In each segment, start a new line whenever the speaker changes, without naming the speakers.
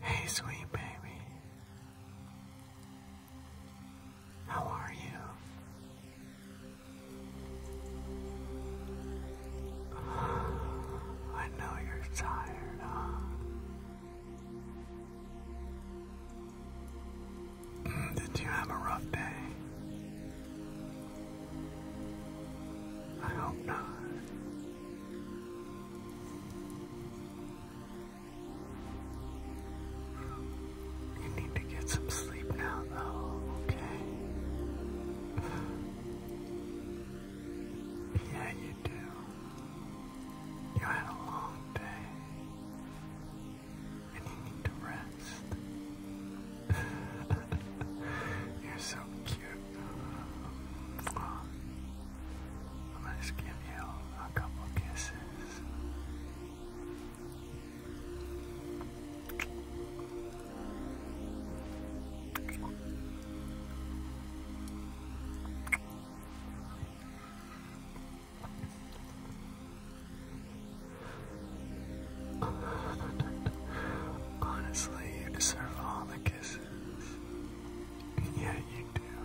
Hey, sweet baby. How are you? I know you're tired, Did you have a rough day? I hope not. You need to get some sleep now, though, okay? yeah, you do. You had a long day, and you need to rest. You're so cute. Um, i just give you a couple kisses. Honestly, you deserve all the kisses. Yeah, you do.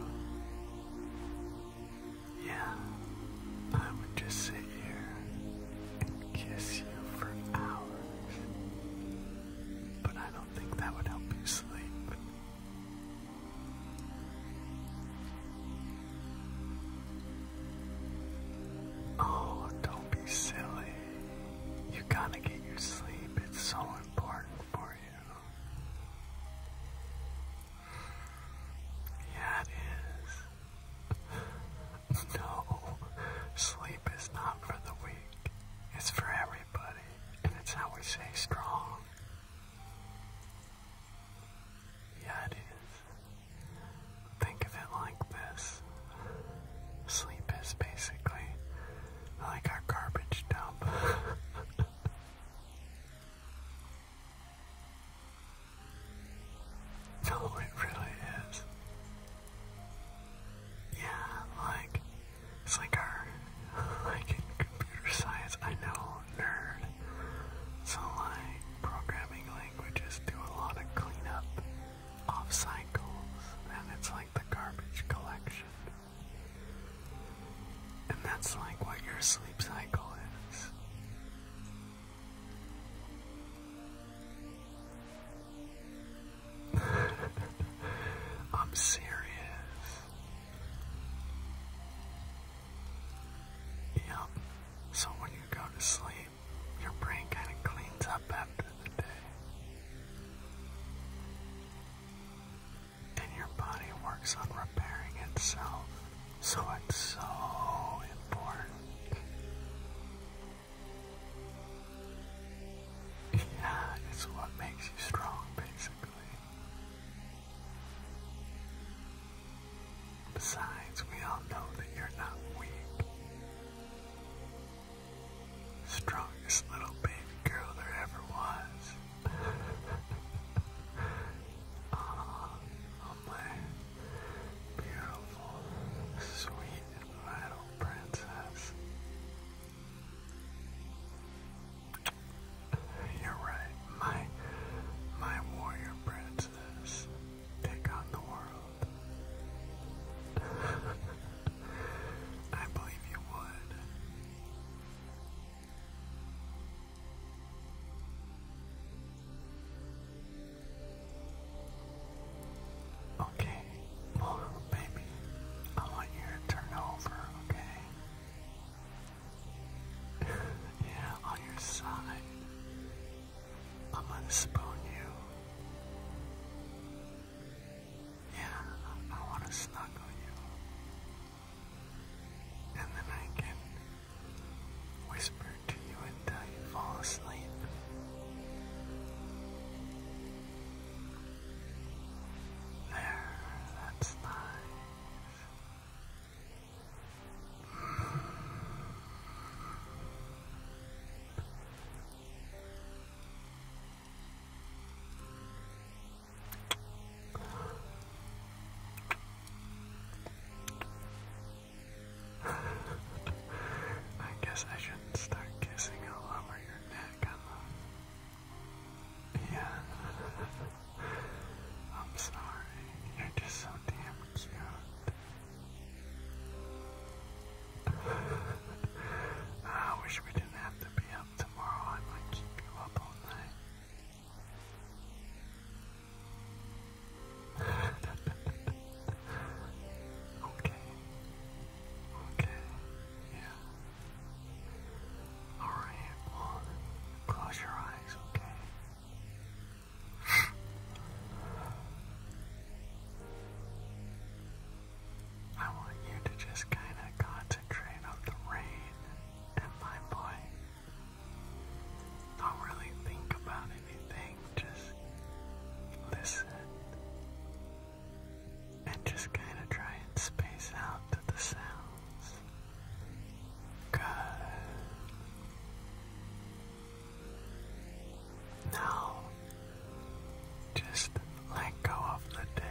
Yeah, I would just sit here and kiss you for hours. But I don't think that would help you sleep. Oh, don't be silly. You gotta get your sleep. It's so important for you. Yeah, it is. No, sleep is not for the weak. It's for everybody, and it's how we stay strong. Yeah, it is. Think of it like this sleep is basically like our garbage dump. no, it really is. Yeah, like it's like our like computer science. I know nerd. So like programming languages do a lot of cleanup off cycles, and it's like the garbage collection. And that's like what your sleep cycle is. I'm serious. Yep. So when you go to sleep, your brain kind of cleans up after the day. And your body works on repairing itself. So it's so important. Yeah, it's what makes you strong, basically. Besides, we all know that you're not weak. Strongest little baby girl there ever was. oh, my beautiful, sweet, and vital princess. You're right, my my warrior princess take on the world. I believe you would. Okay, well, baby, I want you to turn over, okay? yeah, on your side. I'm gonna spoon you. Yeah, I wanna snuggle you. And then I can whisper to you until you fall asleep. There, that's nice. I guess I shouldn't start kissing all over your neck. Yeah. I'm sorry, you're just so damn cute. I wish we didn't have to be up tomorrow. I might keep you up all night. okay. Okay. Yeah. Alright, close your eyes, okay? I want you to just kind of concentrate on the rain and my boy. Don't really think about anything, just listen. And just kind of try and space out to the sound. Good. Now, just let go of the day.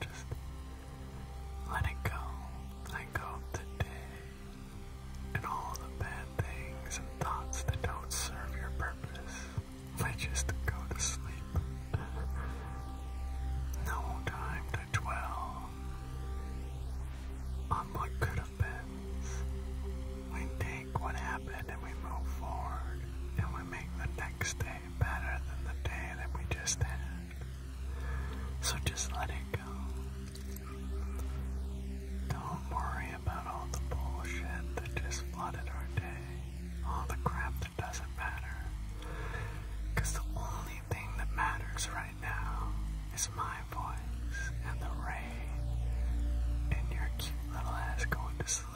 Just let it go. Let go of the day and all the bad things and thoughts that don't serve your purpose. Let just go to sleep. No time to dwell on what could have been. We take what happened and we move forward, and we make the next day better than the day that we just had. So just let it go. Don't worry about all the bullshit that just flooded our day, all the crap doesn't matter. the only thing that matters right now is my voice and the rain and your cute little ass going to sleep.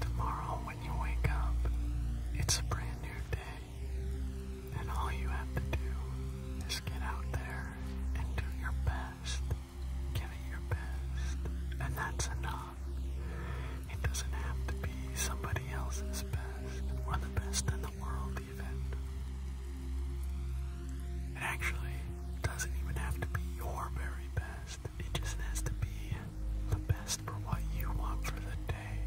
tomorrow, when you wake up, it's a brand new day, and all you have to do is get out there and do your best. Give your best, and that's enough. It doesn't have to be somebody else's best, or the best in the world, even. It actually doesn't even have to be your very best, it just has to be the best for what you want for the day.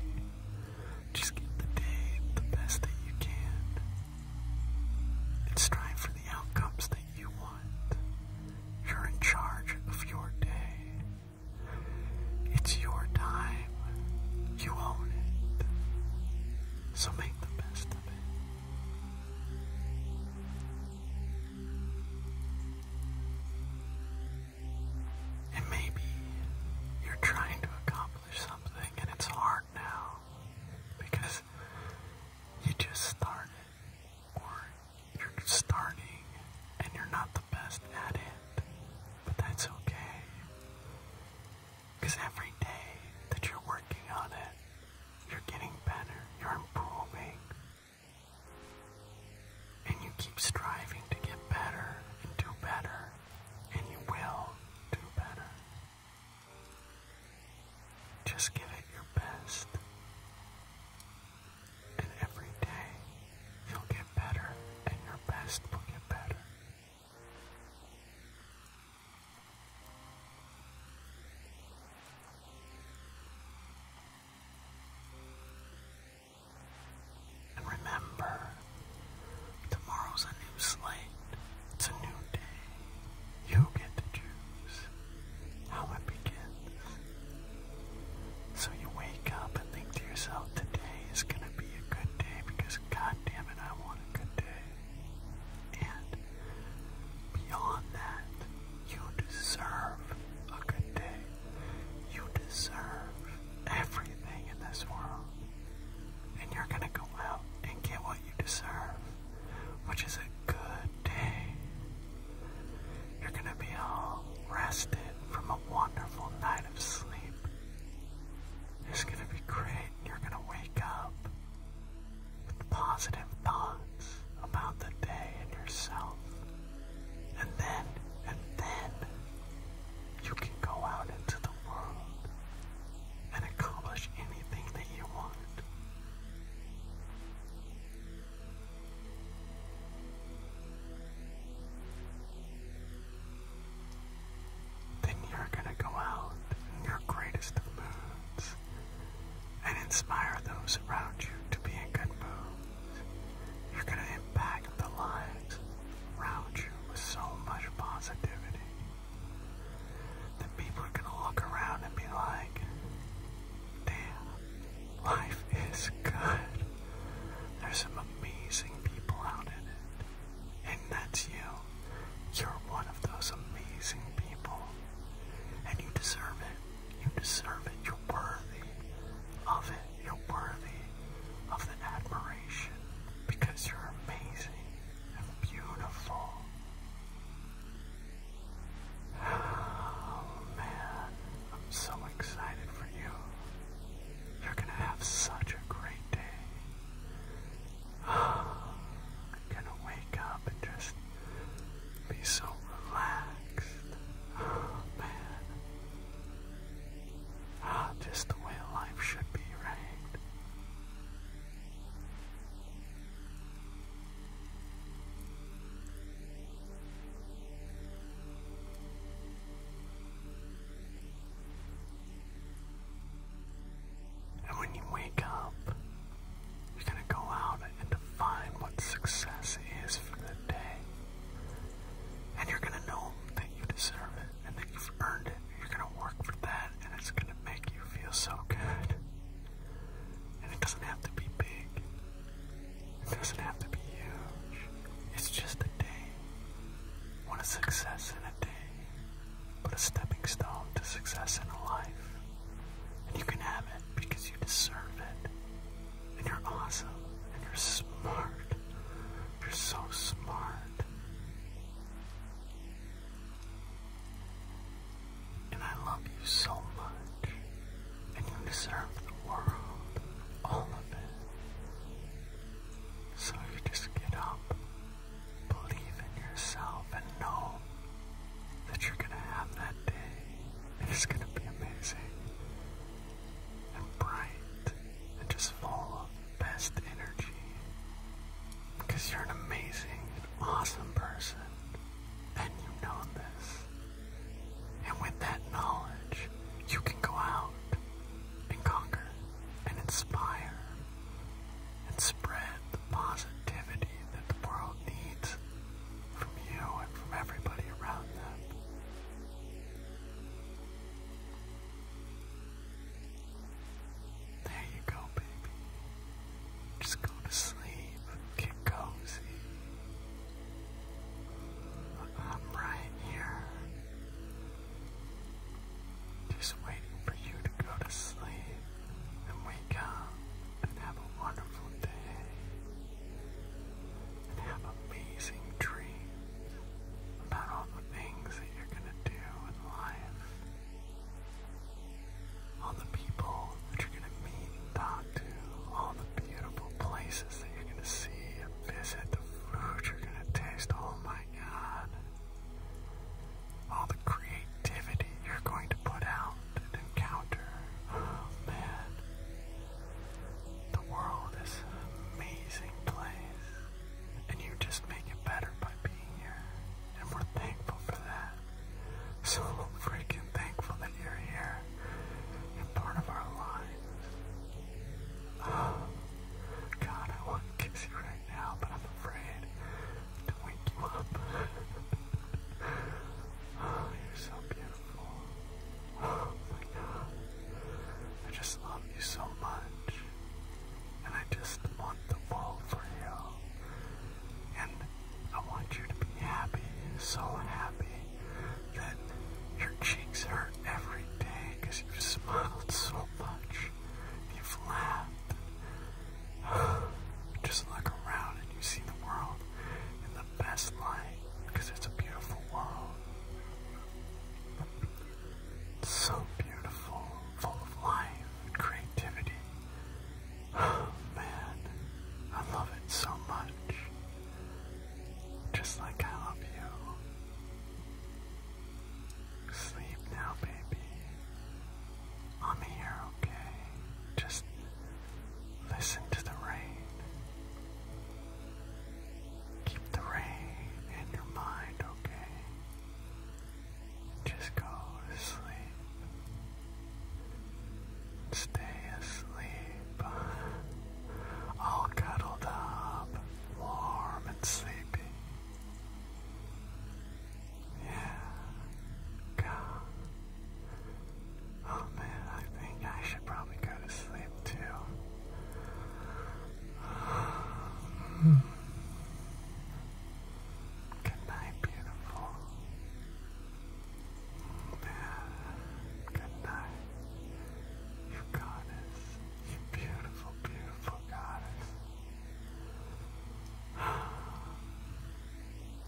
Just give the day the best that you can and strive for the outcomes that you want. You're in charge of your day. It's your time. You own it. So make the best of it. And maybe you're trying to accomplish something and it's hard now because you just started or you're starting and you're not the best at it. But that's okay. Because every day that you're working on it, you're getting better, you're improving. And you keep striving to get better and do better, and you will do better. Just give it your best, and every day you'll get better, and your best will get better. And remember, Tomorrow's a new slate. It's a new day. You get to choose how it begins. So you wake up and think to yourself, today is going to be a good day because god damn it, I want a good day. And beyond that, you deserve a good day. You deserve everything in this world and you're gonna go out and get what you deserve, which is a good day. You're gonna be all rested from a wonderful night of sleep. It's gonna be great, you're gonna wake up with positive thoughts about the day and yourself. And then, and then, you can go out into the world and accomplish anything that you want. Then you're going to go out in your greatest moods and inspire those around you to be in good moods. You're going to impact the lives around you with so much positivity then people are gonna look around and be like, damn, life is good. There's some amazing people out in it. And that's you. You're one of those amazing people. And you deserve it. You deserve it. You're worthy of it. You're worthy of the admiration because you're amazing and beautiful. Oh man, I'm so excited for you. You're gonna have such a great day. You're gonna wake up and just be so relaxed. Oh, man. Ah, just the way life should be, right? And when you wake up, you're going to go out and define what success is for the day. And you're going to know that you deserve it and that you've earned it. You're gonna work for that, and it's gonna make you feel so good. And it doesn't have to be big. It doesn't have to be huge. It's just a day. What a success in a day, but a stepping stone to success in a life. And you can have it because you deserve it. And you're awesome. And you're smart. You're so smart. And I love you so much. And you deserve the world, all of it. So you just get up, believe in yourself, and know that you're gonna have that day. it's gonna be amazing and bright and just full of best energy. Because you're an amazing and awesome person, and you know this. And with that knowledge, you can go out and conquer and inspire and spread the positivity that the world needs from you and from everybody around them. There you go, baby. Just go to sleep. Get cozy. I'm right here. Just waiting for you to go to sleep and wake up and have a wonderful day amazing dreams about all the things that you're going to do in life, all the people that you're going to meet and talk to, all the beautiful places that you're going to see and visit, the food you're going to taste, oh my god, all the creativity you're going to put out and encounter, oh man. The world is an amazing place, and you just make it better by being here, and we're thankful for that. So freaking thankful that you're here and part of our lives. Oh, God, I want to kiss you right now, but I'm afraid to wake you up. you're so beautiful. Oh my god. I just love you so much. And I just want the world for you. And I want you to be happy, so happy that your cheeks hurt every day because you've smiled so much. You've laughed. Just look around and you see the world and the best light because it's a beautiful world. so beautiful, full of life and creativity. Oh man, I love it so much. Just like I love you. Sleep now, baby. I'm here, okay? Just Listen to the rain. Keep the rain in your mind, okay? Just go to sleep. Stay asleep. All cuddled up, warm and sleepy. Yeah, come. Oh man, I think I should probably go to sleep too. Good night, beautiful. good night. goddess. You beautiful, beautiful goddess.